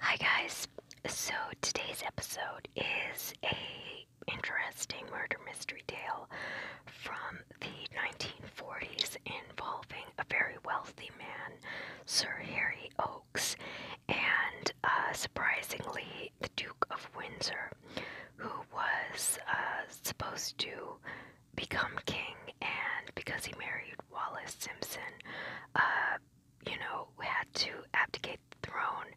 Hi guys. So today's episode is a interesting murder mystery tale from the 1940s involving a very wealthy man, Sir Harry Oakes, and uh, surprisingly the Duke of Windsor, who was uh, supposed to become king and because he married Wallace Simpson, uh, you know, had to abdicate the throne,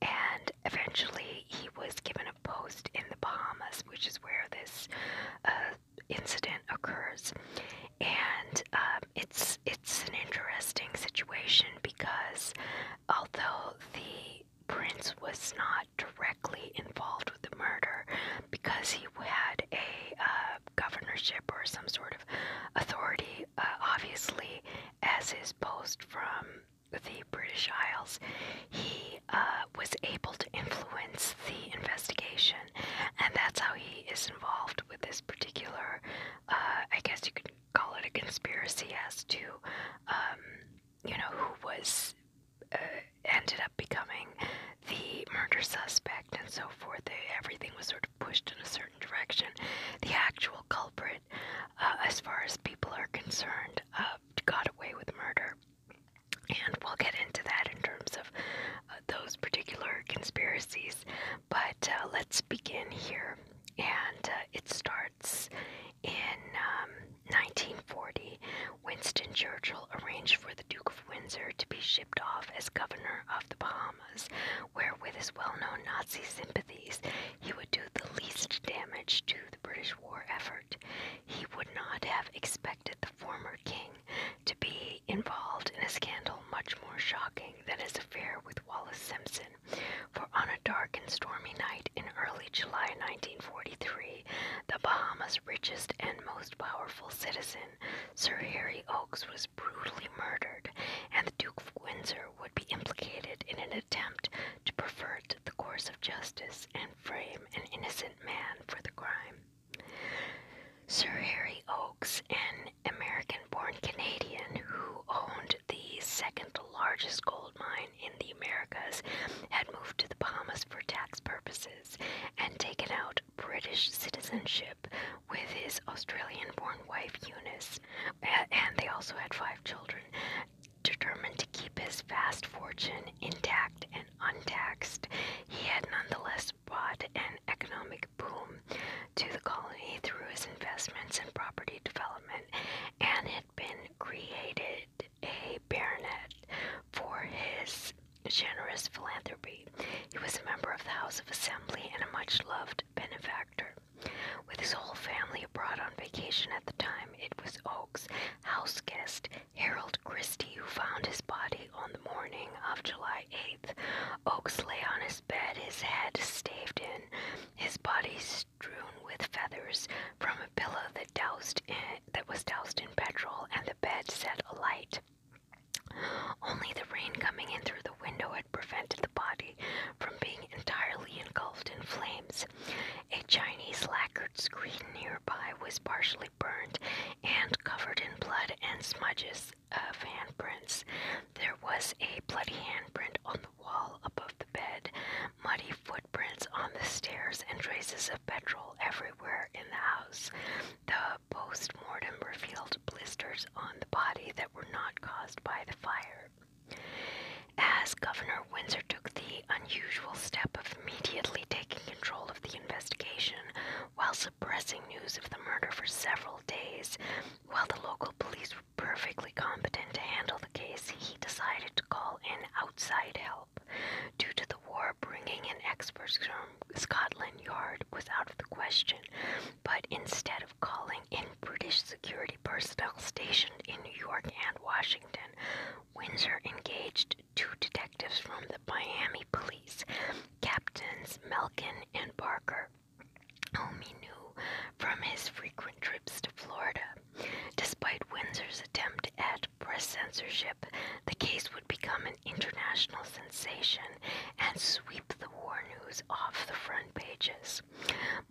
and eventually he was given a post in the Bahamas, which is where this uh, incident occurs. And um, it's it's an interesting situation because although the prince was not directly involved with the murder, because he had a uh, governorship or some sort of authority, uh, obviously, as his post from the British Isles, he uh, was able to influence the investigation, and that's how he is involved with this particular, uh, I guess you could call it a conspiracy as to, um, you know, who was ended up becoming the murder suspect and so forth. everything was sort of pushed in a certain direction. The actual culprit, uh, as far as people are concerned, uh, got away with murder. And we'll get into that in terms of uh, those particular conspiracies. But let's begin here. And it starts in 1940. Um, Winston Churchill arranged for the Duke of Windsor to be shipped off as governor of the Bahamas dramas, where, with his well known Nazi sympathies, he would do the least damage to the British war effort. He would not have expected the former king to be involved in a scandal much more shocking than his affair with Wallace Simpson, for on a dark and stormy night in early July 1943, the Bahamas' richest and most powerful citizen Sir Harry Oakes was brutally murdered, and the Duke of Windsor would be implicated in an attempt to pervert the course of justice and frame an innocent man for the crime. Sir Harry Oakes, an American born Canadian who owned the second largest gold mine in the Americas, had moved to the Bahamas for tax purposes and taken out British citizenship with his Australian born wife Eunice, and they also had five children. Determined to keep his vast fortune intact and untaxed, he had nonetheless brought an economic boom to the colony through his investments in property development and had been created a baronet for his generous philanthropy. He was a member of the House of Assembly and a much loved benefactor. With his whole family abroad on vacation at the time, it was Oakes' house guest, Harold Christie, who found his body on the morning of July 8th. Oakes lay on his bed, his head staved in, his body strewn with feathers from a pillow that was doused in petrol, and the bed set alight. Only the rain coming in through the window had prevented the body from being entirely engulfed in flames. A Chinese lacquered screen nearby was partially burned and covered in blood and smudges of handprints. There was a bloody handprint on the wall above the bed, muddy footprints on the stairs, and traces of petrol everywhere in the house. The post-mortem revealed blisters on the body that were not caused by the fire. As Governor Windsor took the unusual step of immediately taking control of the investigation while suppressing news of the murder for several days, while the local police were perfectly competent to handle the case, he decided to call in outside help due to the war bringing in experts Scotland Yard was out of the question, but instead of calling in British security personnel stationed in New York and Washington, Windsor engaged two detectives from the Miami police, Captains Melkin and Parker, whom he knew from his frequent trips to Florida. Despite Windsor's attempt at press censorship, the case would would become an international sensation and sweep the war news off the front pages.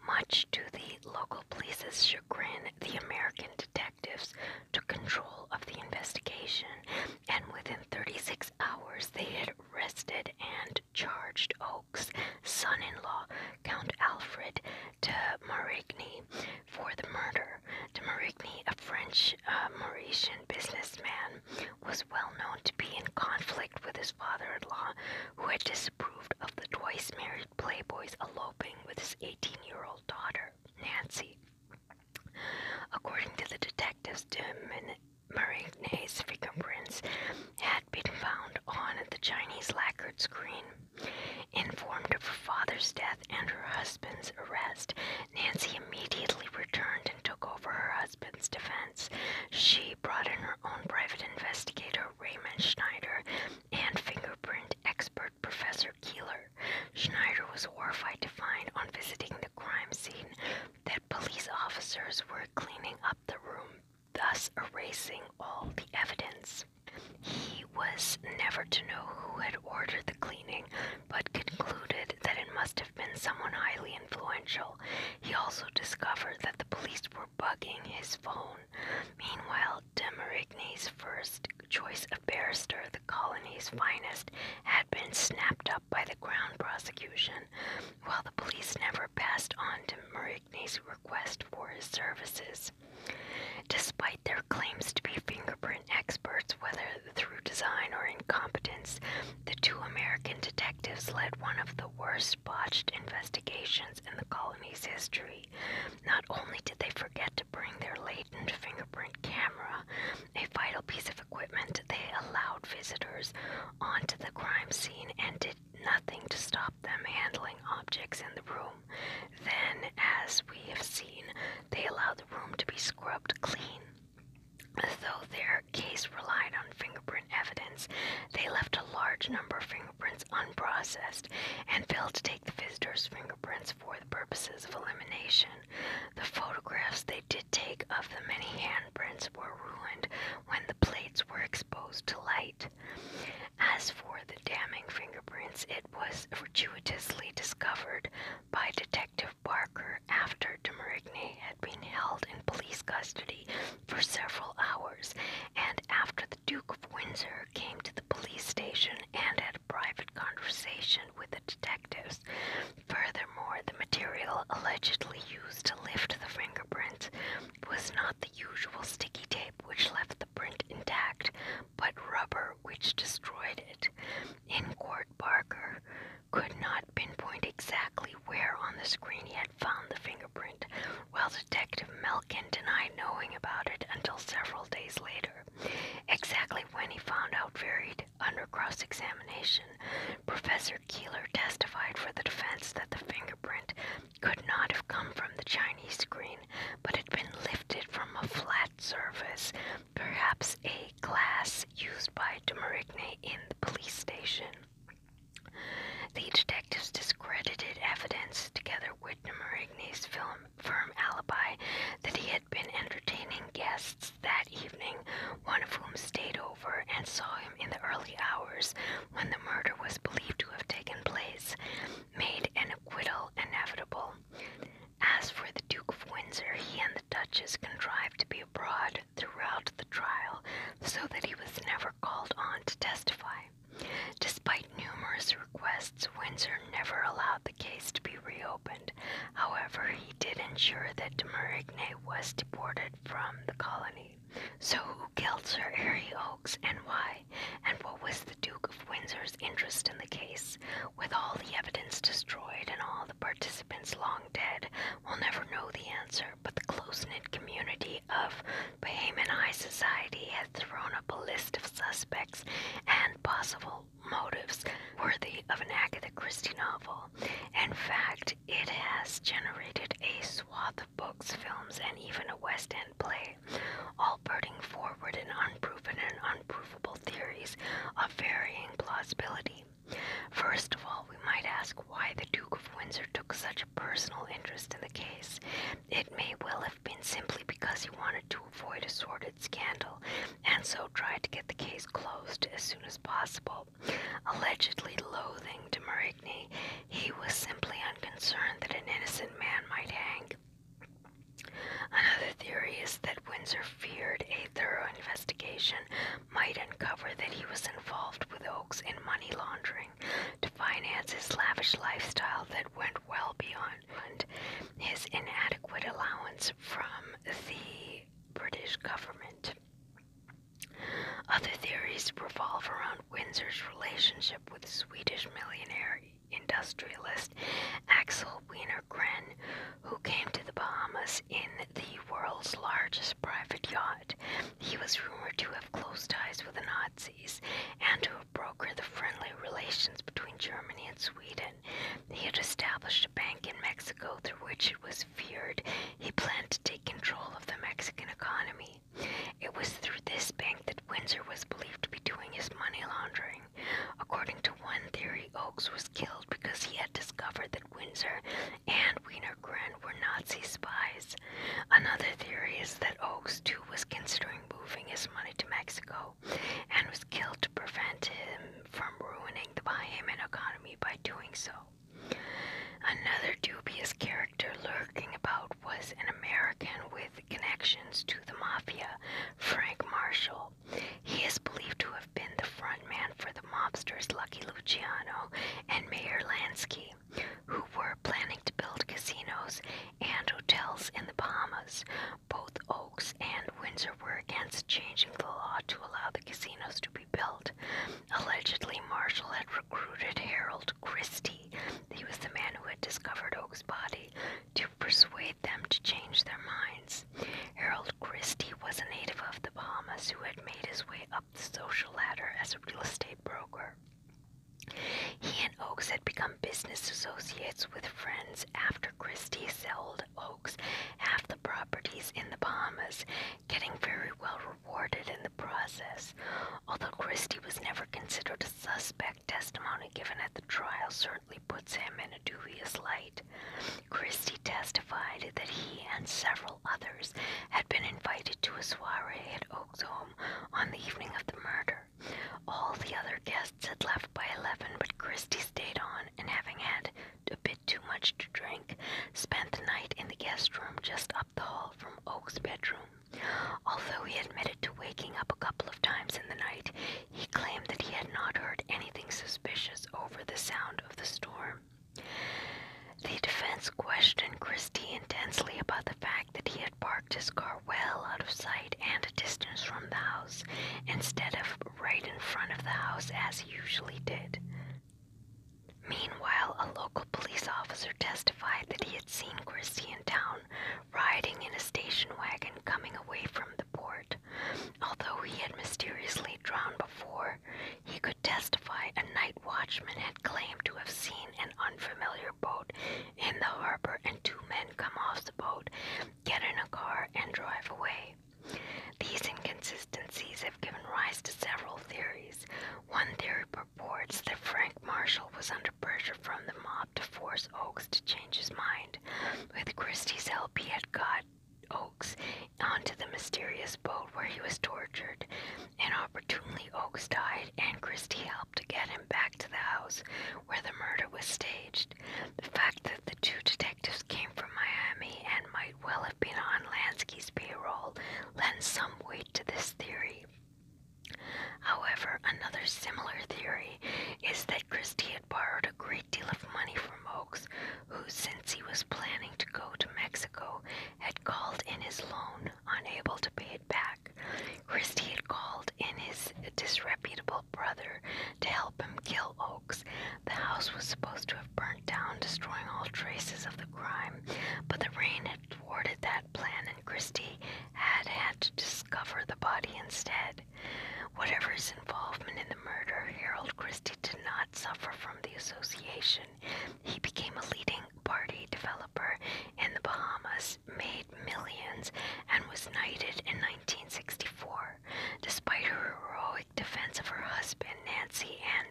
Much to the local police's chagrin, the American detectives took control of the investigation, and within 36 hours, they had arrested and charged Oakes' son in law, Count Alfred de Marigny, for the murder. De Marigny, a French uh, Mauritian businessman, was well known to be in conflict with his father in law, who had disapproved of the twice married playboy's eloping with his 18 year old daughter, Nancy. According to the detectives, Marigne's fingerprints had been found on the Chinese lacquered screen. Informed of her father's death and her husband's arrest, Nancy immediately returned and took over her husband's defense. She brought in her own private investigator, Raymond Schneider, and fingerprint expert Professor Keeler. Schneider was horrified to find on visiting the crime scene that police officers were cleaning up the room, thus erasing all the evidence. He was never to know who had ordered the cleaning, but concluded that it must have been someone highly influential. He also discovered that the police were bugging his phone. Meanwhile, de Marigny's first choice of barrister, the colony's finest, had been snapped up by the Crown prosecution. While the police never passed on de Marigny's request for his services. Despite their claims to be fingerprint experts, whether through design or incompetence, the two American detectives led one of the worst botched investigations in the colony's history. Not only did they forget to bring their latent fingerprint camera, a vital piece of equipment they allowed visitors onto the crime scene and did nothing to stop them handling objects in the room. Then, as we have seen, they allowed the room to be scrubbed clean. Though their case relied on fingerprint evidence, they left a large number of fingerprints unprocessed and failed to take the visitors' fingerprints for the purposes of elimination. The photographs they did take of the many handprints were ruined when the plates were exposed to light. As for the damning fingerprints, it was fortuitously discovered by detectives Detective Barker after DeMarigny had been held in police custody for several hours and after the Duke of Windsor came to the police station and had a private conversation with the detectives. Furthermore, the material allegedly used to lift the fingerprints was not the usual sticky tape which left the print intact, but rubber which destroyed it. In court, Barker could not pinpoint exactly where on the screen he had found the fingerprint, while Detective Melkin denied knowing about it until several days later. Exactly when he found out varied under cross examination. Professor Keeler testified for the defense that the fingerprint could not have come from the Chinese screen, but had been lifted from a flat surface perhaps a glass used by De Domerigne in the police station. The detectives discredited evidence together with Domérigne's film firm alibi that he had been entertaining guests that evening, one of whom stayed over and saw him in the early hours when the murder was believed to have taken place, made an acquittal inevitable. As for the Duke of Windsor, he and the Duchess contrived to be abroad throughout the trial so that he was never called on to testify. Despite numerous requests, Windsor never allowed the case to be reopened. However, he did ensure that de Marigny was deported from the colony. So who killed Sir Harry Oakes and why? And what was the Duke of Windsor's interest in the case? With all the evidence destroyed and all the participants lost, long dead, will never know the answer, but the close knit community of Bahamian High Society has thrown up a list of suspects and possible motives worthy of an Agatha Christie novel. In fact, it has generated a swath of books, films, and even a West End play, all putting forward in unproven and unprovable theories of varying plausibility. First of all, we might ask why the Duke of Windsor took such a personal interest in the case. It may well have been simply because he wanted to avoid a sordid scandal and so tried to get the case closed as soon as possible. Allegedly loathing de Marigny, he was simply unconcerned that an innocent man might hang. Another theory is that Windsor feared a thorough investigation might uncover that he was involved with Oakes in money laundering to finance his lavish lifestyle that went well beyond his inadequate allowance from the British government. Other theories revolve around Windsor's relationship with Swedish millionaire industrialist Axel Wiener who came to the Bahamas in the world's largest private yacht. He was rumored to have close ties with the Nazis and to have brokered the friendly relations between Germany and Sweden. He had established a bank in Mexico through which it was feared he planned to take control of the Mexican economy. It was through this bank that Windsor was believed to be doing his money laundering. According to one theory, Oakes was killed because he had discovered that. Windsor and Wienergren were Nazi spies. Another theory is that Oakes too was considering moving his money to Mexico and was killed to prevent him from ruining the Bahamian economy by doing so. Another dubious character lurking about was an American with connections to the mafia, Frank Marshall. He is believed to have been the front man for the mobsters Lucky Luciano and Mayor Lansky, who were planning to build casinos and hotels in the Bahamas. Both Oaks and Windsor were against changing the law to allow the casinos to be built. Allegedly, Marshall had recruited Harold Christie, he was the man who had discovered Oak's body, to persuade them to change their mind lines. Harold Christie was a native of the Bahamas who had made his way up the social ladder as a real estate broker. He and Oakes had become business associates with friends after Christie sold Oakes half the properties in the Bahamas, getting very well rewarded in the process. Although Christie was never considered a suspect, testimony given at the trial certainly puts him in a dubious light. Christie testified that he and several others had been invited to a soiree at Oak's home on the evening of the murder. All the other guests had left by 11, but Christie stayed on and, having had a bit too much to drink, spent the night in the guest room just up the hall from Oak's bedroom. Although he admitted to waking up a couple of times in the night, he claimed that he had not heard anything suspicious over the sound of the storm. The defense questioned Christie intensely about the fact that he had parked his car well out of sight and a distance from the house instead of right in front of the house as he usually did. Meanwhile, a local police officer testified that he had seen Christie in town riding in a station wagon coming away from the port. Although he had mysteriously drowned before, he could testify a night watchman had claimed to have seen an unfamiliar boat in the harbor and two men come off the boat, get in a car, and drive away. These inconsistencies have given rise to several theories. One theory purports that Frank Marshall was under pressure from the mob to force Oakes to change his mind. With Christie's help, he had got onto the mysterious boat where he was tortured. And opportunely, Oaks died, and Christie helped to get him back to the house where the murder was staged. The fact that the two detectives came from Miami and might well have been on Lansky's payroll lends some weight to this theory. However, another similar theory is that Christie had borrowed a great deal of money from from who, since he was planning to go to Mexico, had called in his loan, unable to pay it back. Christie had called in his disreputable brother to help him kill Oaks. The house was supposed to have burnt down, destroying all traces of the crime, but the rain had thwarted that plan, and Christie had had to discover the body instead. Whatever his involvement in the murder, Harold Christie did not suffer from the association. He became a leading party developer in the Bahamas, made millions, and was knighted in 1964. Despite her heroic defense of her husband, Nancy and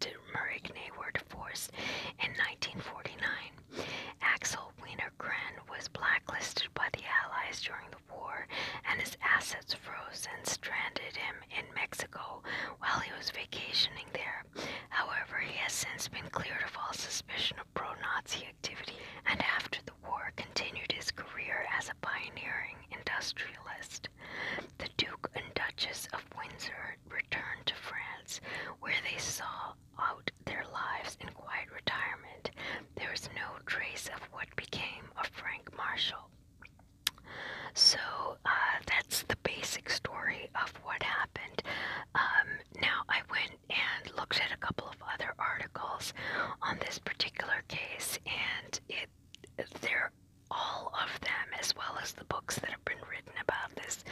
de Marigny were divorced in 1949. Axel Wienergren was blacklisted by the Allies during the War, and his assets froze and stranded him in Mexico while he was vacationing there. However, he has since been cleared of all suspicion of pro Nazi activity and after the war continued his career as a pioneering industrialist. The Duke and Duchess of Windsor returned to France, where they saw out their lives in quiet retirement. There is no trace of what became of Frank Marshall. So uh, that's the basic story of what happened. Um, now I went and looked at a couple of other articles on this particular case, and it they're all of them, as well as the books that have been written about this,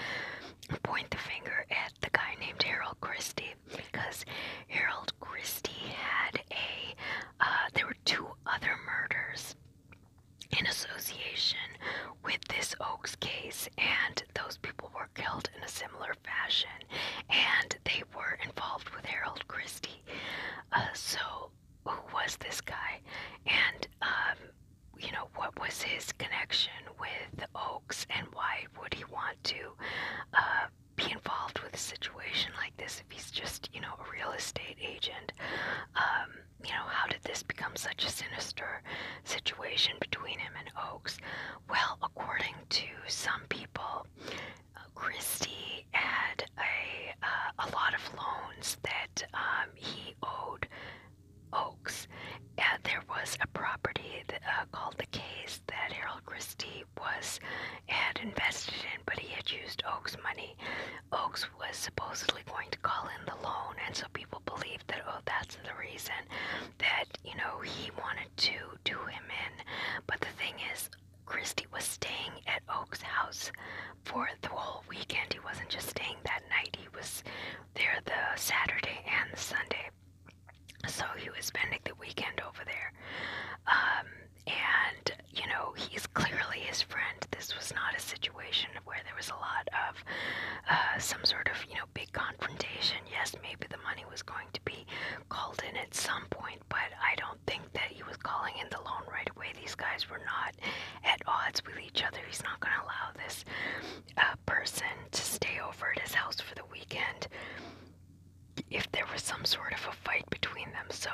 point the finger at the guy named Harold Christie because Harold Christie had a uh, there were two other murders in association with this Oaks case, and those people were killed in a similar fashion, and they were involved with Harold Christie. Uh, so, who was this guy? And, um, you know, what was his connection with the Oaks, and why would he want to uh, be involved with a situation like this? is, if he's just, you know, a real estate agent, um, you know, how did this become such a sinister situation between him and Oakes? Well, according to some people, uh, Christie had a, uh, a lot of loans that um, he owed Oakes. Uh, there was a property that, uh, called the Case that Harold Christie he was had invested in, but he had used Oak's money. Oakes was supposedly going to call in the loan, and so people believed that oh, that's the reason that you know he wanted to do him in. But the thing is, Christie was staying at Oak's house for the whole weekend. He wasn't just staying that night. He was there the Saturday and the Sunday. So he was spending the weekend over there. Um, and, you know, he's clearly his friend. This was not a situation where there was a lot of uh, some sort of, you know, big confrontation. Yes, maybe the money was going to be called in at some point, but I don't think that he was calling in the loan right away. These guys were not at odds with each other. He's not going to allow this uh, person to stay over at his house for the weekend if there was some sort of a fight between them. So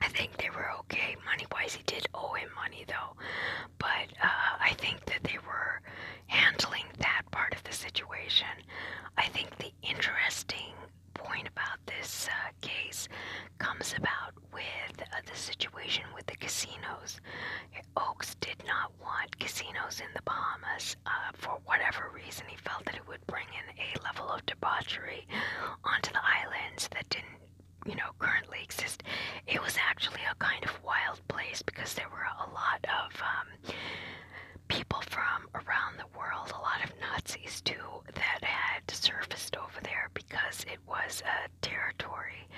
I think they were okay money wise. He did owe him money though, but uh, I think that they were handling that part of the situation. I think the interesting point about this uh, case comes about with uh, the situation with the casinos. Oakes did not want casinos in the Bahamas for whatever reason and he felt that it would bring in a level of debauchery onto the islands that didn't, you know, currently exist. It was actually a kind of wild place because there were a lot of um, people from around the world, a lot of Nazis too, that had surfaced over there because it was a territory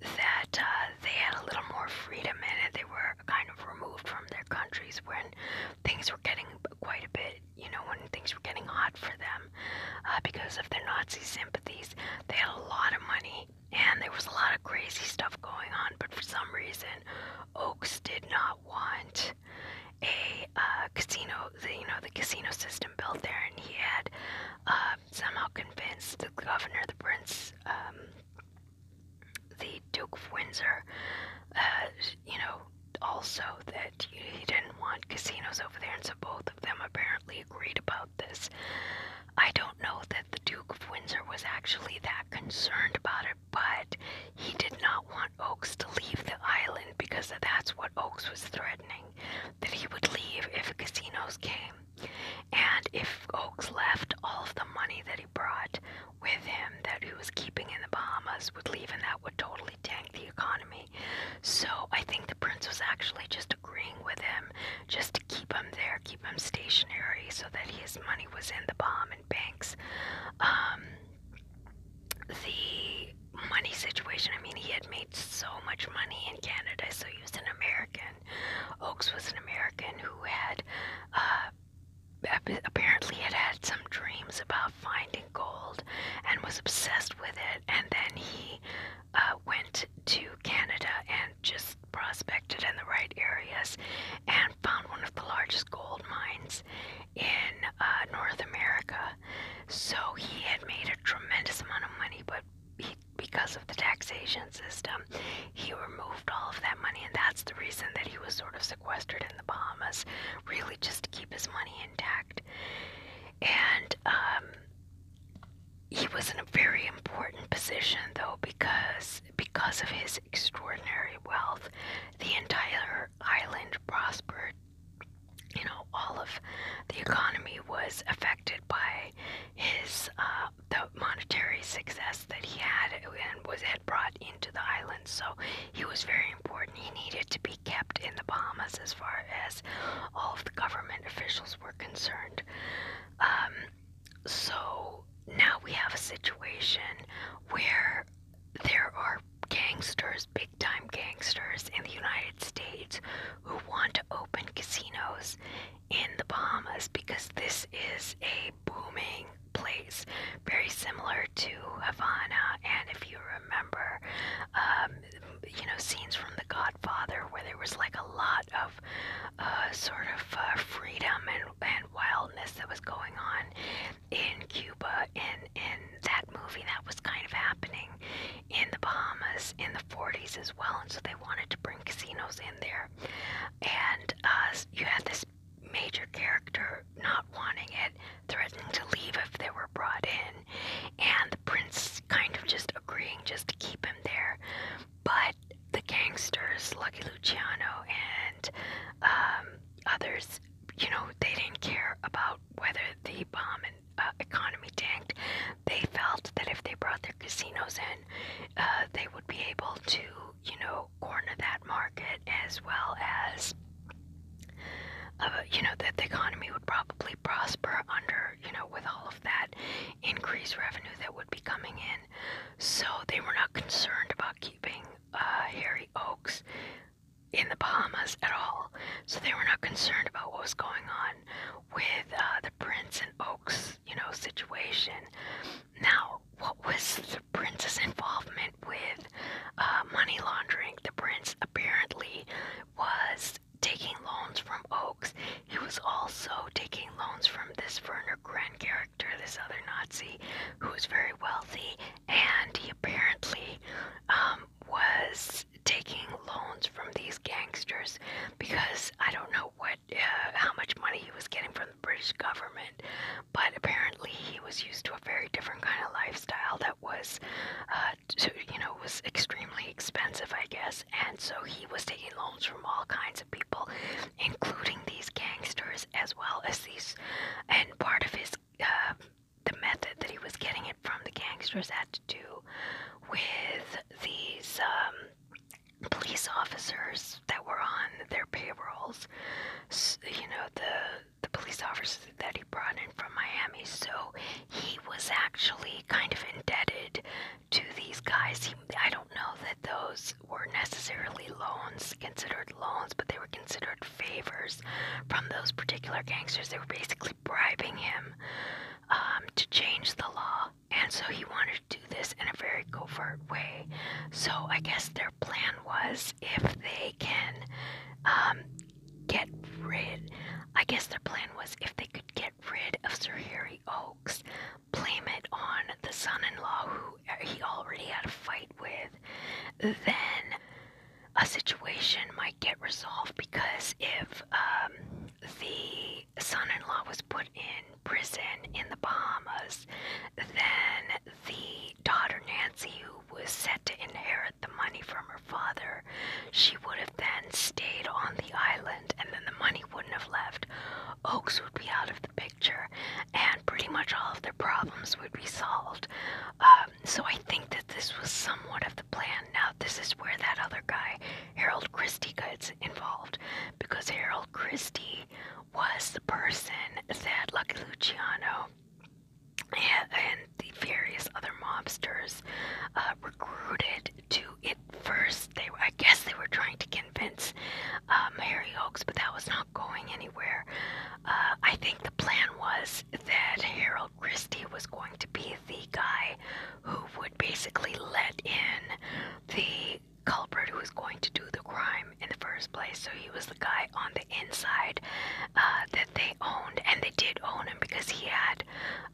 that uh, they had a little more freedom in it. They were kind of removed from their countries when things were getting quite a bit you know, when things were getting hot for them uh, because of their Nazi sympathies. They had a lot of money and there was a lot of crazy stuff going on, but for some reason, Oaks did not want a uh, casino, the, you know, the casino system built there, and he had uh, somehow convinced the governor, the prince, um, the Duke of Windsor, uh, you know, also the he didn't want casinos over there, and so both of them apparently agreed about this. I don't know that the Duke of Windsor was actually that concerned about it, but he did not want Oakes to leave the island because that's what Oakes was threatening that he would leave if casinos came. And if Oakes left, all of the money that he brought with him that he was keeping in the Bahamas would leave, and that would totally really tank the economy. So I think the prince was actually just agreeing with him just to keep him there, keep him stationary so that his money was in the Bahamian banks. Um, the money situation, I mean, he had made so much money in Canada, so he was an American. Oakes was an American who had. Uh, apparently had had some dreams about finding gold and was obsessed with it and then he uh, went to Canada and just prospected in the right areas and found one of the largest gold mines in uh, North America so he had made a tremendous amount of money but he, because of the taxation system he removed all of that money and that's the reason that he was sort of sequestered in the Bahamas, really just to keep his money intact. And um, he was in a very important position, though, because because of his extraordinary wealth, the entire island prospered. You know, all of the economy was affected by his uh, the monetary success that he had and was had brought to the islands, so he was very important. He needed to be kept in the Bahamas as far as all of the government officials were concerned. Um, so now we have a situation where there are gangsters, big time gangsters in the United States who want to open casinos in the Bahamas because this is a booming place very similar to Havana. And if you remember, um, you know, scenes from The Godfather where there was like a lot of uh, sort of uh, freedom and, and wildness that was going on in Cuba. And in that movie, that was kind of happening in the Bahamas in the 40s as well. And so they wanted to bring casinos in there. And uh, you had this major character not wanting it, threatening to leave if they were brought in, and the prince kind of just agreeing just to keep him there. But the gangsters, Lucky Luciano and um, others, you know, they didn't care about whether the bomb and uh, economy tanked. They felt that if they brought their casinos in, uh, they would be able to, you know, corner that market as well as uh, you know, that the economy would probably prosper under, you know, with all of that increased revenue that would be coming in. So they were not concerned about keeping uh, Harry Oaks in the Bahamas at all. So they were not concerned about what was going on with uh, the Prince and Oaks, you know, situation. Now, what was prince's involvement with uh, money laundering. The prince apparently was taking loans from Oakes. He was also taking loans from this Werner Grand character, this other Nazi who was very wealthy, and he apparently um, was taking loans from these gangsters because I don't know what uh, how much money he was getting from the British government, but apparently he was used to a very different kind of lifestyle that was, uh, to, you know, was extremely expensive, I guess. And so he was taking loans from all kinds of people, including these gangsters as well as these. And part of his, uh, the method that he was getting it from the gangsters had to do with these um, police officers that were on their payrolls. So, you know, the the police officers that he brought in from Miami. So he was actually kind of indebted to these guys. He, I don't know that those were necessarily loans, considered loans, but they were considered favors from those particular gangsters. They were basically bribing him um, to change the law. And so he wanted to do this in a very covert way. So I guess their plan was if they can um, get rid, I guess their plan was if they could get rid of Sir Harry Oaks, blame it on the son-in-law who uh, he already had a fight with, then a situation might get resolved because if um, the son-in-law was put in prison in the Bahamas, then the daughter Nancy, who was set to inherit the money from her father, she would have then stayed on the island and then the money wouldn't have left. Oaks would be out of the picture and pretty much all of their problems would be solved. Um, so I think that this was somewhat of the plan. Now, this is where that other guy, Harold Christie, gets involved because Harold Christie was the person that Lucky Luciano and the various other mobsters uh, recruited to it first. They I guess they were trying to convince um, uh, Harry Oakes, but that was not going anywhere. Uh, I think the plan was that Harold Christie was going to be the guy who would basically let in the culprit who was going to do the crime in the first place. So he was the guy on the the inside uh, that they owned, and they did own him because he had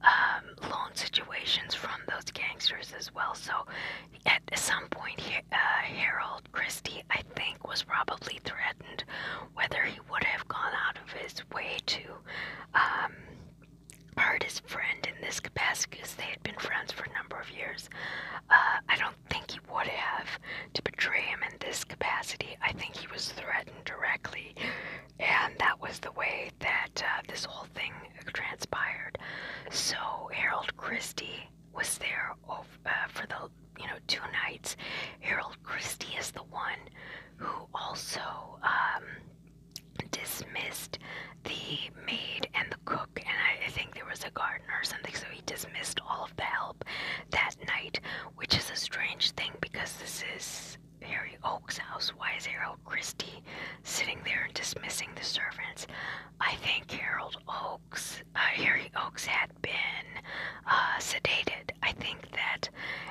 um, loan situations from those gangsters as well. So at some point, he, uh, Harold Christie, I think, was probably threatened whether he would have gone out of his way to. Um, hurt his friend in this capacity because they had been friends for a number of years. Uh, I don't think he would have to betray him in this capacity. I think he was threatened directly, and that was the way that uh, this whole thing transpired. So Harold Christie was there uh, for the you know two nights. Harold Christie is the one who also um, dismissed the maid and the cook, and I, I think there was a gardener or something. So he dismissed all of the help that night, which is a strange thing because this is Harry Oakes, house. Why is Harold Christie sitting there and dismissing the servants? I think Harold Oakes, uh, Harry Oakes had been uh, sedated. I think that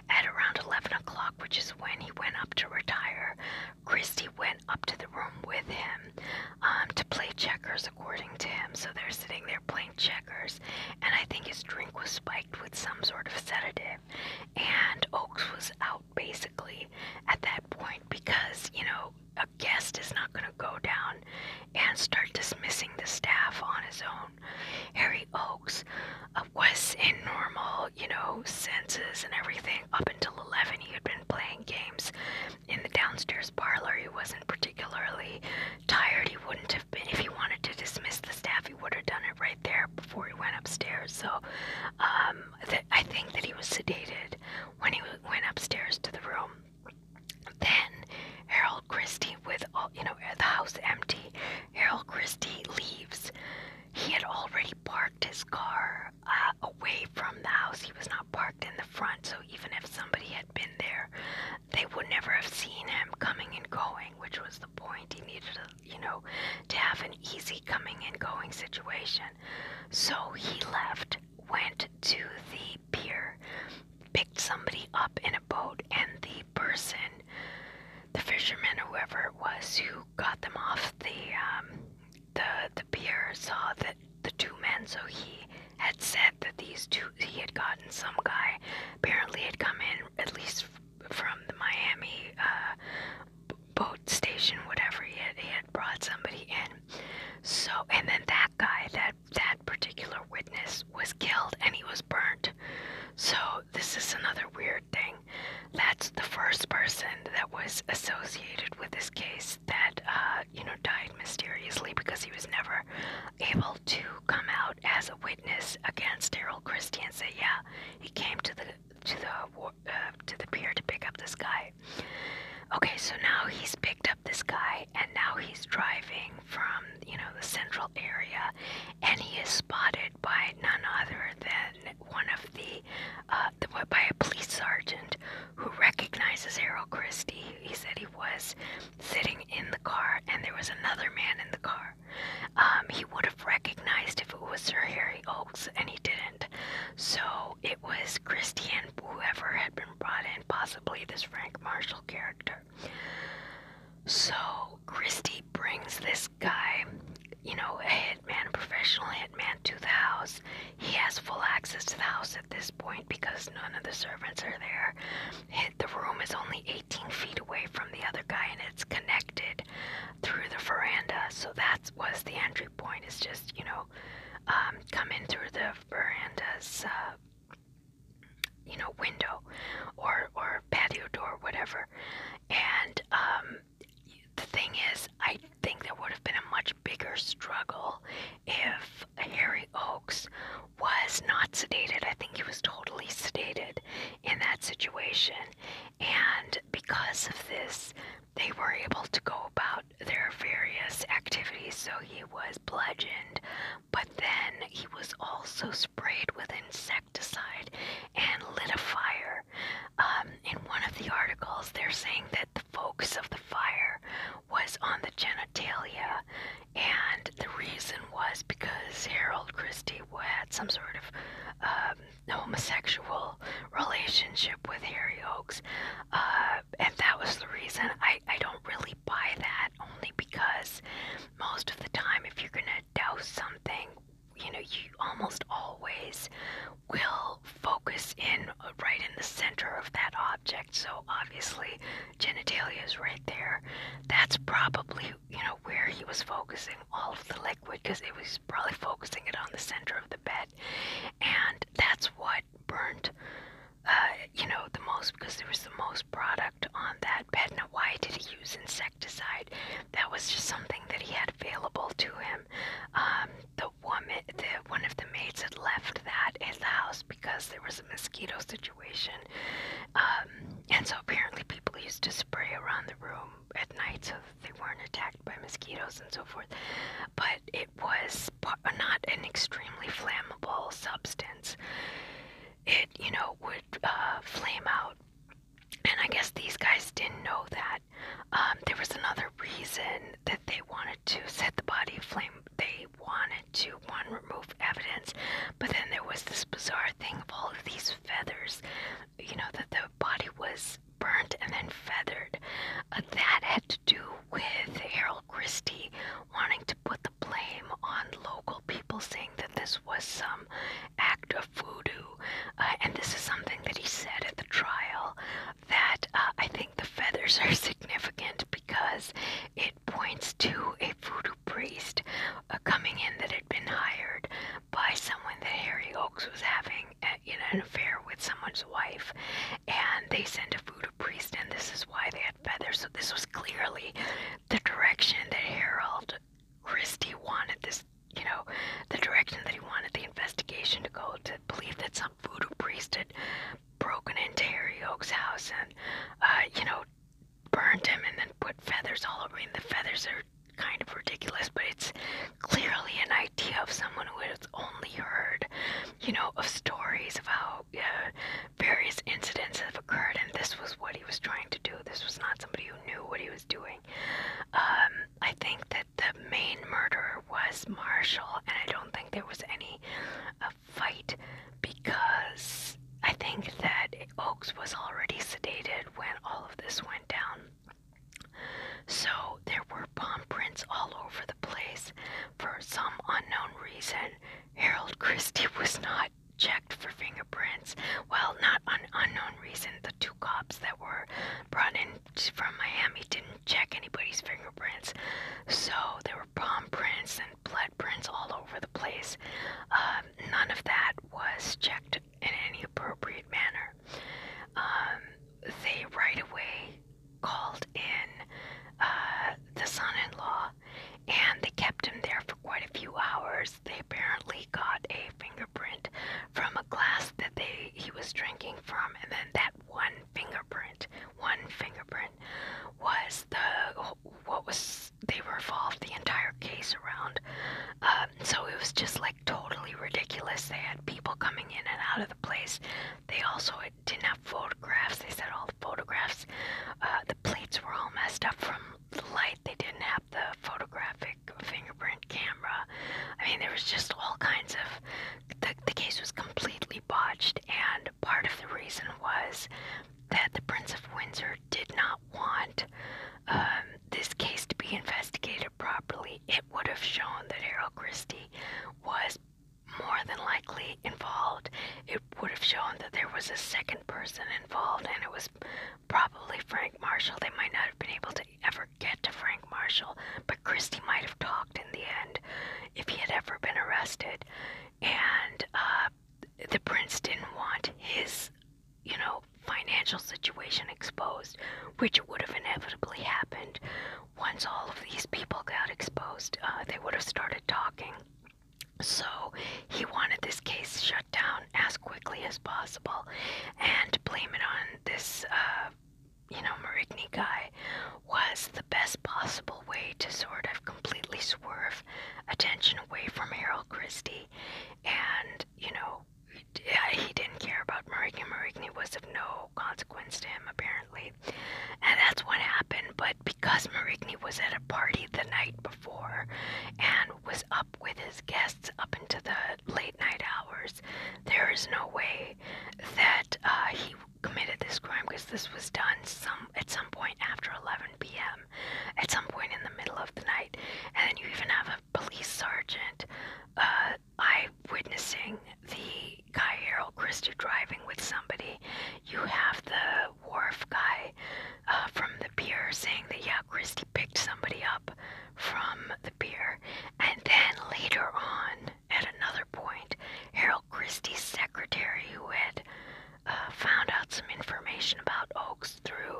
at around 11 o'clock, which is when he went up to retire, Christie went up to the room with him um, to play checkers, according to him. So they're sitting there playing playing checkers, and I think his drink was spiked with some sort of sedative. And Oakes was out basically at that point because, you know, a guest is not going to go down and start dismissing the staff on his own. Harry Oakes uh, was in normal, you know, senses and everything up until 11. He had been playing games in the downstairs parlor. He wasn't particularly tired. He wouldn't wouldn't have been if he wanted to dismiss the staff. He would have done it right there before he went upstairs. So um, th I think that he was sedated when he went upstairs to the room. Then Harold Christie, with all, you know the house empty, Harold Christie leaves. He had already parked his car uh, away from the house. He was not parked in the front, so even if somebody had been there, they would never have seen him coming and going, which was the point. He needed, you know, to have an easy coming and going situation. So he left, went to the pier, picked somebody up in a boat, and the person, the fisherman, whoever it was, who got them off the um, the the pier, saw that the two men, so he had said that these two he had gotten some guy apparently had come in at least from the Miami uh, boat station whatever he had had brought somebody in so and then that guy that that particular witness was killed and he was burnt so this is another weird thing that's the first person that was associated with this case that uh, you know died mysteriously because he was never able to come out as a witness against Daryl Christie and say, yeah, he came to the to the uh, to the pier to pick up this guy. Okay, so now he's picked up this guy, and now he's driving from you know the central area, and he is spotted by none other than one of the, uh, by a police sergeant who recognizes Errol Christie. He said he was sitting in the car, and there was another man in the car. Um, he would have recognized if it was Sir Harry Oakes, and he didn't. So it was Christian, whoever had been brought in, possibly this Frank Marshall character. So Christie brings this guy, you know, a hitman, a professional hitman, to the house. He has full access to the house at this point because none of the servants are there. The room is only 18 feet away from the other guy, and it's connected through the veranda. So that was the entry point. Is just you know, um, come in through the veranda's uh, you know window or or patio door, whatever. And um, the thing is, I think there would have been a much bigger struggle if Harry Oakes was not sedated. I think he was totally sedated in that situation. And because of this, they were able to go about their various activities. So he was bludgeoned, but then he was also sprayed with insecticide and lit a fire. Um, in one of the articles, they're saying that the focus of the fire was on the genitalia, and the reason was because Harold Christie had some sort of um, homosexual relationship with Harry Oakes, uh, and that was the reason. I, I don't really buy that only because most of the time, if you're gonna douse something, you know, you almost always will focus in uh, right in the center of that object. So obviously, genitalia is right there. That's probably, you know, where he was focusing all of the liquid because it was probably focusing it on the center of the bed. And that's what burnt, uh, you know, the most because there was the most product on that bed. Now, why did he use insecticide? That was just something that he had available to him. Um, the woman, the, one of the maids had left that in the house because there was a mosquito situation. Um, and so apparently people used to spray around the room at night so that they weren't attacked by mosquitoes and so forth. But it was not an extremely flammable substance. It, you know, would uh, flame out. And I guess these guys didn't know that. Um, there was another reason that they wanted to set the body aflame. They wanted to one remove evidence, but then there was this bizarre thing of all of these feathers, you know, that the body was burnt and then feathered. Uh, that had to do with Harold Christie wanting to put the blame on local people, saying that this was some act of voodoo. Uh, and this is something that he said at the trial that uh, I think the feathers are significant because it points to a voodoo priest uh, coming in that had been hired by someone that Harry Oakes was having uh, an affair with someone's wife, and they sent a voodoo priest, and this is why they had feathers. So this was clearly the direction that Harold Christie wanted this, you know, the direction that he wanted the investigation to go. To believe that some voodoo priest had broken into Harry Oakes' house and, uh, you know, burned him and then put feathers all over him. The feathers are kind of ridiculous, but it's clearly an idea of someone who has only heard, you know, of stories of how uh, various incidents have occurred, and this was what he was trying to do. This was not somebody who knew what he was doing. Um, I think that the main murderer was Marshall, and I don't think there was any uh, fight because I think that Oakes was already sedated when all of this went down. So there were palm prints all over the place. For some unknown reason, Harold Christie was not checked for fingerprints. Well, not an unknown reason. The two cops that were brought in from Miami didn't check anybody's fingerprints. So there were palm prints and blood prints all over the place. Um, none of that was checked in any appropriate manner. Um, they right away called in uh, the son in law and they kept him there for quite a few hours. They apparently got a fingerprint from a glass that they he was drinking from, and then that one fingerprint, one fingerprint, was the what was they were involved the entire case around. Um, so it was just like totally ridiculous. They had people coming in and out of the place. They also didn't have photographs. They said all the photographs, uh, the plates were all messed up from the light. They didn't have the photographic fingerprint camera. I mean, there was just all kinds of. The, the case was completely completely and part of the reason was that the Prince of Windsor did not want um, this case to be investigated properly. It would have shown that Harold Christie was more than likely involved. It would have shown that there was a second person involved, and it was probably Frank Marshall. They might not have been able to ever get to Frank Marshall, but Christie might have talked in the end if he had ever been arrested. And uh, the prince didn't want his, you know, financial situation exposed, which would have inevitably happened once all of these people got exposed. Uh, they would have started talking. So he wanted this case shut down as quickly as possible and blame it on this, uh, you know, Marigny guy was the best possible way to sort of completely swerve attention away from Harold Christie, and you know, he didn't care about Marigny. Marigny was of no consequence to him, apparently, and that's what happened. But because Marigny was at a party the night before and was up with his guests up into the late night hours, there is no way that uh, he committed this crime because this was done some at some point after 11 p.m. at some point in the middle of the night, and then you even have a police sergeant uh, eye witnessing the guy Harold Christy driving with somebody. You have the wharf guy uh, from the pier saying that yeah, Christy picked somebody up from the pier, and then later on at another point, Harold about Christie's secretary who had uh, found out some information about Oaks through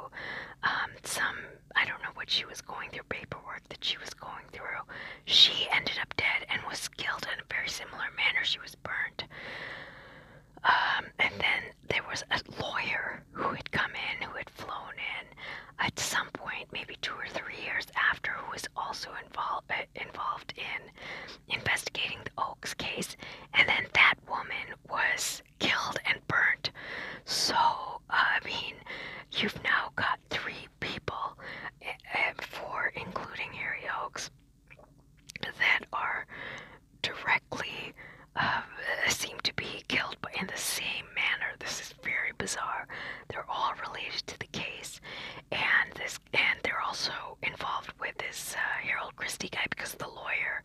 um, some, I don't know what she was going through, paperwork that she was going through. She ended up dead and was killed in a very similar manner. She was burned. Um, and then there was a lawyer who had come in, who had flown in at some point, maybe two or three years after, who was also involved, uh, involved in investigating the Oaks case, and then that woman was killed and burnt. So, uh, I mean, you've now got three people, eh, eh, four including Harry Oaks, that are directly um, seem to be killed but in the same manner. This is very bizarre. They're all related to the case, and this and they're also involved with this uh, Harold Christie guy because the lawyer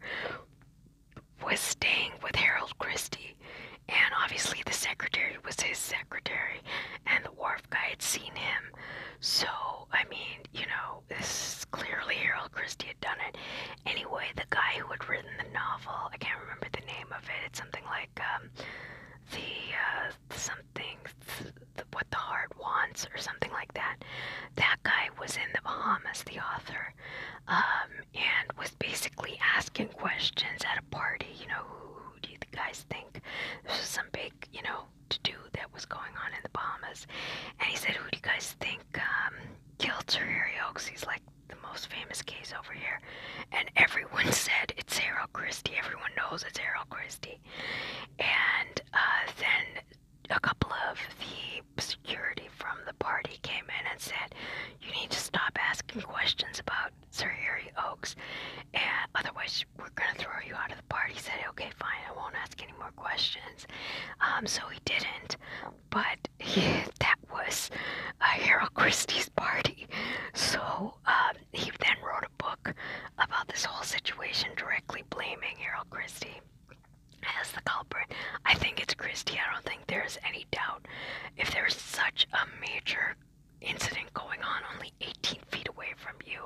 was staying with Harold Christie, and obviously the secretary was his secretary, and the wharf guy had seen him. So, I mean, you know, this clearly Harold Christie had done it. Anyway, the guy who had written the novel, I can't remember the name of it, it's something like um, the uh, something what the heart wants or something like that. That guy was in the Bahamas, the author, um, and was basically asking questions at a party. You know, who, do you guys think? This was some big, you know, to do that was going on in the Bahamas, and he said, "Who do you guys think um, killed Sir Harry Oakes?" He's like the most famous case over here, and everyone said it's Harold Christie. Everyone knows it's Harold Christie, and uh, then a couple of the security from the party came in and said, "You need to stop asking questions about Sir Harry Oaks, and otherwise we're gonna throw you out of the party." He said, "Okay, fine, I won't ask any more questions." Um, so he didn't, but he, that was a Harold Christie's party. So um, he then wrote a book about this whole situation, directly blaming Harold. Christy as the culprit. I think it's Christy. I don't think there's any doubt. If there's such a major incident going on only 18 feet away from you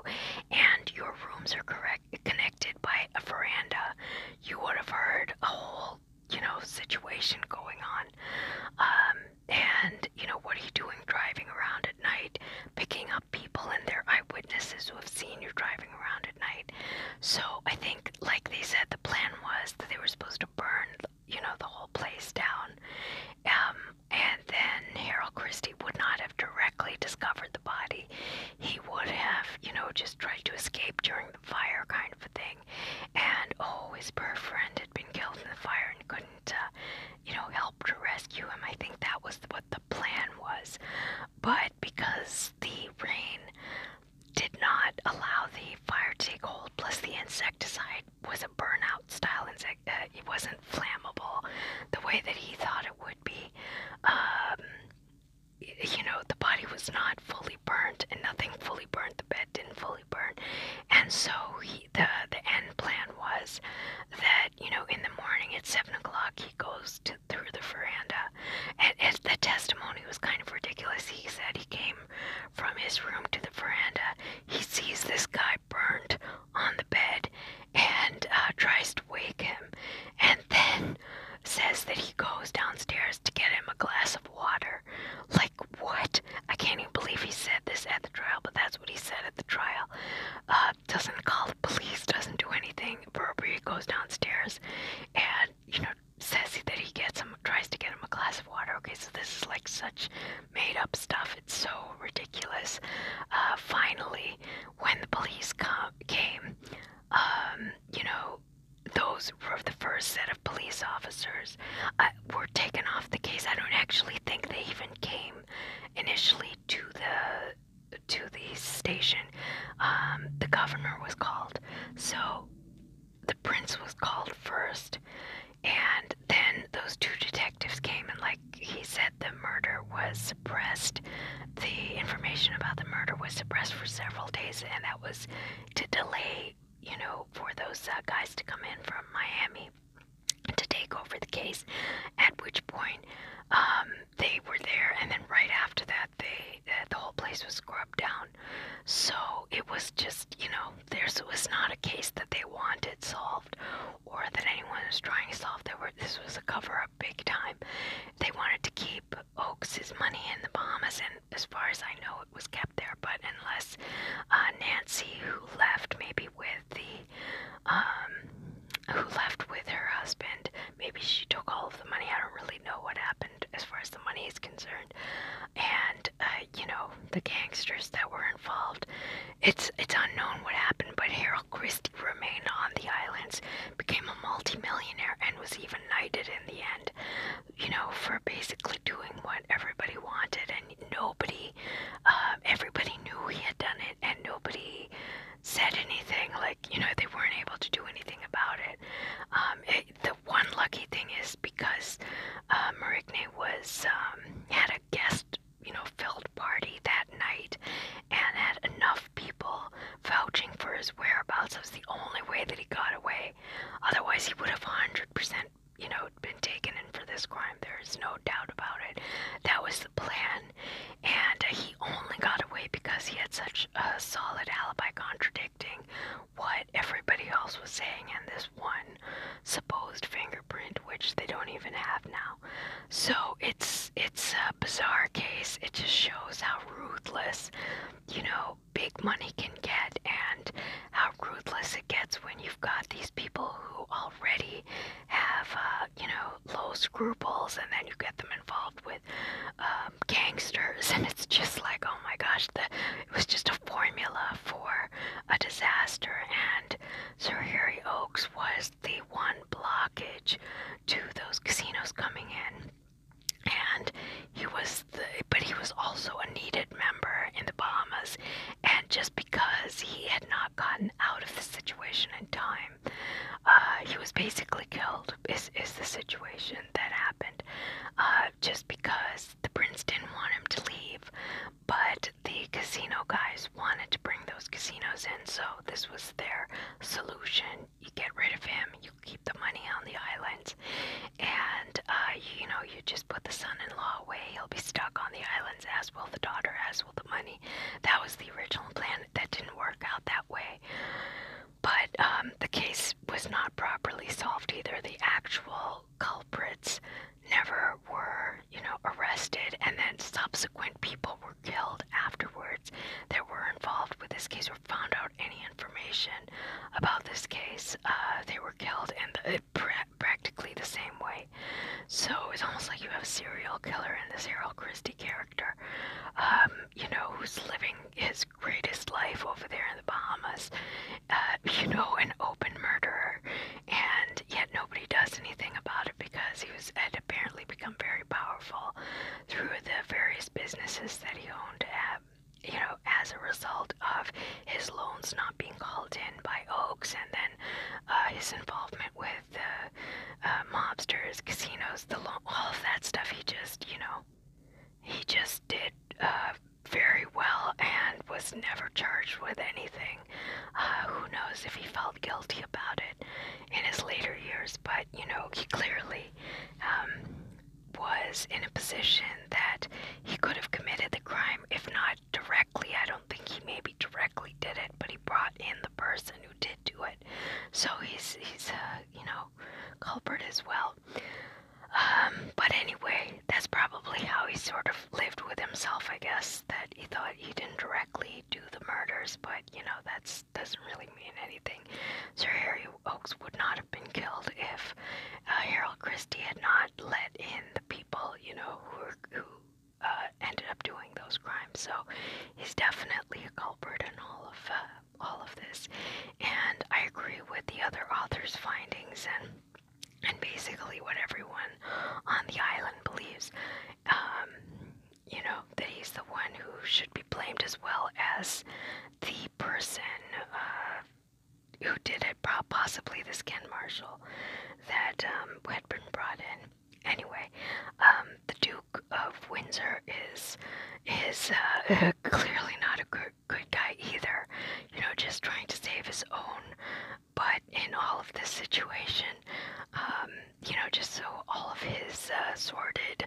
and your rooms are correct connected by a veranda, you would have heard a whole, you know, situation going on. Um, and you know, what are you doing driving around at night, picking up people and their eyewitnesses who have seen you driving around at night. So I think, like they said, the plan was that they were supposed to burn, you know, the whole place down. Um, and then Harold Christie would not have directly discovered the body. He would have, you know, just tried to escape during the fire kind of a thing. And oh, his poor friend had been killed in the fire and couldn't, uh, you know, help to rescue him. I think that was what the plan was but because the rain did not allow the fire to take hold, plus the insecticide was a burnout style insect, uh, it wasn't flammable the way that he thought it would be. Um, you know, the body was not fully burnt, and nothing fully burnt. The bed didn't fully burn, and so the the end plan was that you know in the morning at seven o'clock he goes to through the veranda. And, the testimony was kind of ridiculous. He said he came from his room to the veranda. He sees this guy burned on the bed and uh, tries to wake him, and then says that he goes downstairs to get him a glass of water. Like, what? I can't even believe he said this at the trial, but that's what he said at the trial. Uh, doesn't call the police, doesn't do anything. Burberry goes downstairs and, you know, says that he gets him, tries to get him a glass of water. Okay, so this is like such made up stuff. It's so ridiculous. Uh, finally, when the police come, came, um, you know, those were the first set of police officers uh, were taken off the case. I don't actually think they even came initially to the to the station, um, the governor was called. So the prince was called first, and then those two detectives came, and like he said, the murder was suppressed. The information about the murder was suppressed for several days, and that was to delay, you know, for those uh, guys to come in from Miami to take over the case. At which point, um, they were there, and then right after that, they the whole place was scrubbed down. So it was just you know, there's was not a case that they wanted solved, or that anyone was trying to solve. There were this was a cover up big time. They wanted to keep Oakes's money in the Bahamas, and as far as I know, it was kept there. But unless uh, Nancy, who left maybe with the um, who left with her husband. Maybe she took all of the money. I don't really know what happened as far as the money is concerned. And uh, you know the gangsters that were involved. It's it's unknown what happened, but Harold Christie remained on the islands, became a multi-millionaire, and was even knighted in the end. You know for basically doing what everybody wanted, and nobody, uh, everybody knew he had done it and nobody said anything. Like, you know, they weren't able to do anything about it. Um, the one lucky thing is because uh, Marigny was um, had a guest, you know, filled party that night and had enough people vouching for his whereabouts. was the only way that he got away. Otherwise, he would have 100%, you know, been taken in for this crime. There's no doubt about it. That was the plan gun, and he only got away because he had such a solid alibi contradicting what everybody else was saying and this one supposed fingerprint, which they don't even have now. So it's it's a bizarre case. It just shows how ruthless, you know, big money can get and how ruthless it gets when you've got these people who already have uh, uh, you know, low scruples, and then you get them involved with um, gangsters, and it's just like, oh my gosh, the, it was just a formula for a disaster. And Sir Harry Oakes was the one blockage to those casinos coming in and he was the but he was also a needed member in the Bahamas and just because he had not gotten out of the situation in time uh, he was basically killed. Is is the situation that happened? Uh, just because the prince didn't want him to leave, but the casino guys wanted to bring those casinos in, so this was their solution. You get rid of him. You keep the money on the islands, and uh, you know you just put the son-in-law away. He'll be stuck on the islands, as will the daughter, as will the money. That was the original plan, that didn't work out that way. But um, the case was not properly solved either. The actual culprits never were, you know, arrested, and then subsequent people were killed afterwards that were involved with this case were found out any information about this case. Uh, they were killed in practically the same way. So it's almost like you have a serial killer and the serial Christie character character, um, you know, who's living his greatest life over there in the Bahamas, uh, you know, an open murderer, and yet nobody does anything about it because he was had apparently become very powerful through the various businesses that he owned at uh, you know, as a result of his loans not being called in by Oakes and then uh, his involvement with the uh, mobsters, casinos, the lo all of that stuff. He just, you know, he just did uh, very well and was never charged with anything. Uh, who knows if he felt guilty about it in his later years? But you know, he clearly um, was in a position that he could have committed the crime, if not directly. I don't think he maybe directly did it, but he brought in the person who did do so he's he's a you know culprit as well. Um, but anyway, that's probably how he sort of lived with himself, I guess, that he thought he didn't directly do the murders, but you know, that's doesn't really mean anything. Sir Harry Oaks would not have been killed if uh, Harold Christie had not let in the people, you know, who who uh, ended up doing those crimes. So he's definitely a culprit in all of uh, all of this. And I agree with the other author's findings and and basically what everyone on the island believes. Um, you know that he's the one who should be blamed as well as the person uh, who did it, possibly the skin marshal that um, had been brought in. Anyway, um, the Duke of Windsor is is uh, clearly not a good good guy either. You know, just trying to save his own. But in all of this situation, um, you know, just so all of his uh, sordid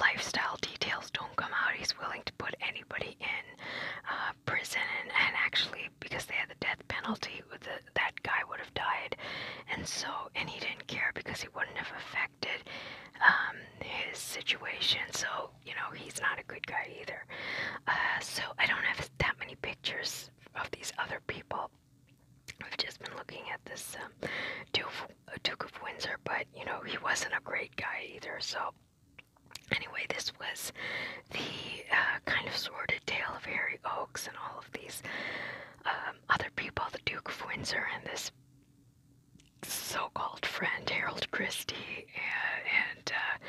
lifestyle details don't come out, he's willing to put anybody in uh, prison. And, and actually, because they had the death penalty, the that guy would have died, and so and he didn't care because he wouldn't have affected um, his situation. So you know he's not a good guy either. Uh, so I don't have that many pictures of these other people. I've just been looking at this um, Duke, Duke of Windsor, but you know he wasn't a great guy either. So. Anyway, this was the uh, kind of sordid tale of Harry Oaks and all of these uh, um, other people, the Duke of Windsor and this so-called friend Harold Christie, and uh,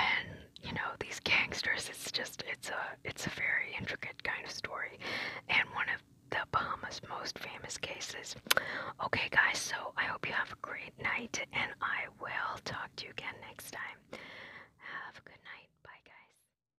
and you know these gangsters. It's just it's a it's a very intricate kind of story, and one of the Bahamas' most famous cases. Okay, guys. So I hope you have a great night, and I will talk to you again next time. Have a good night. Bye, guys.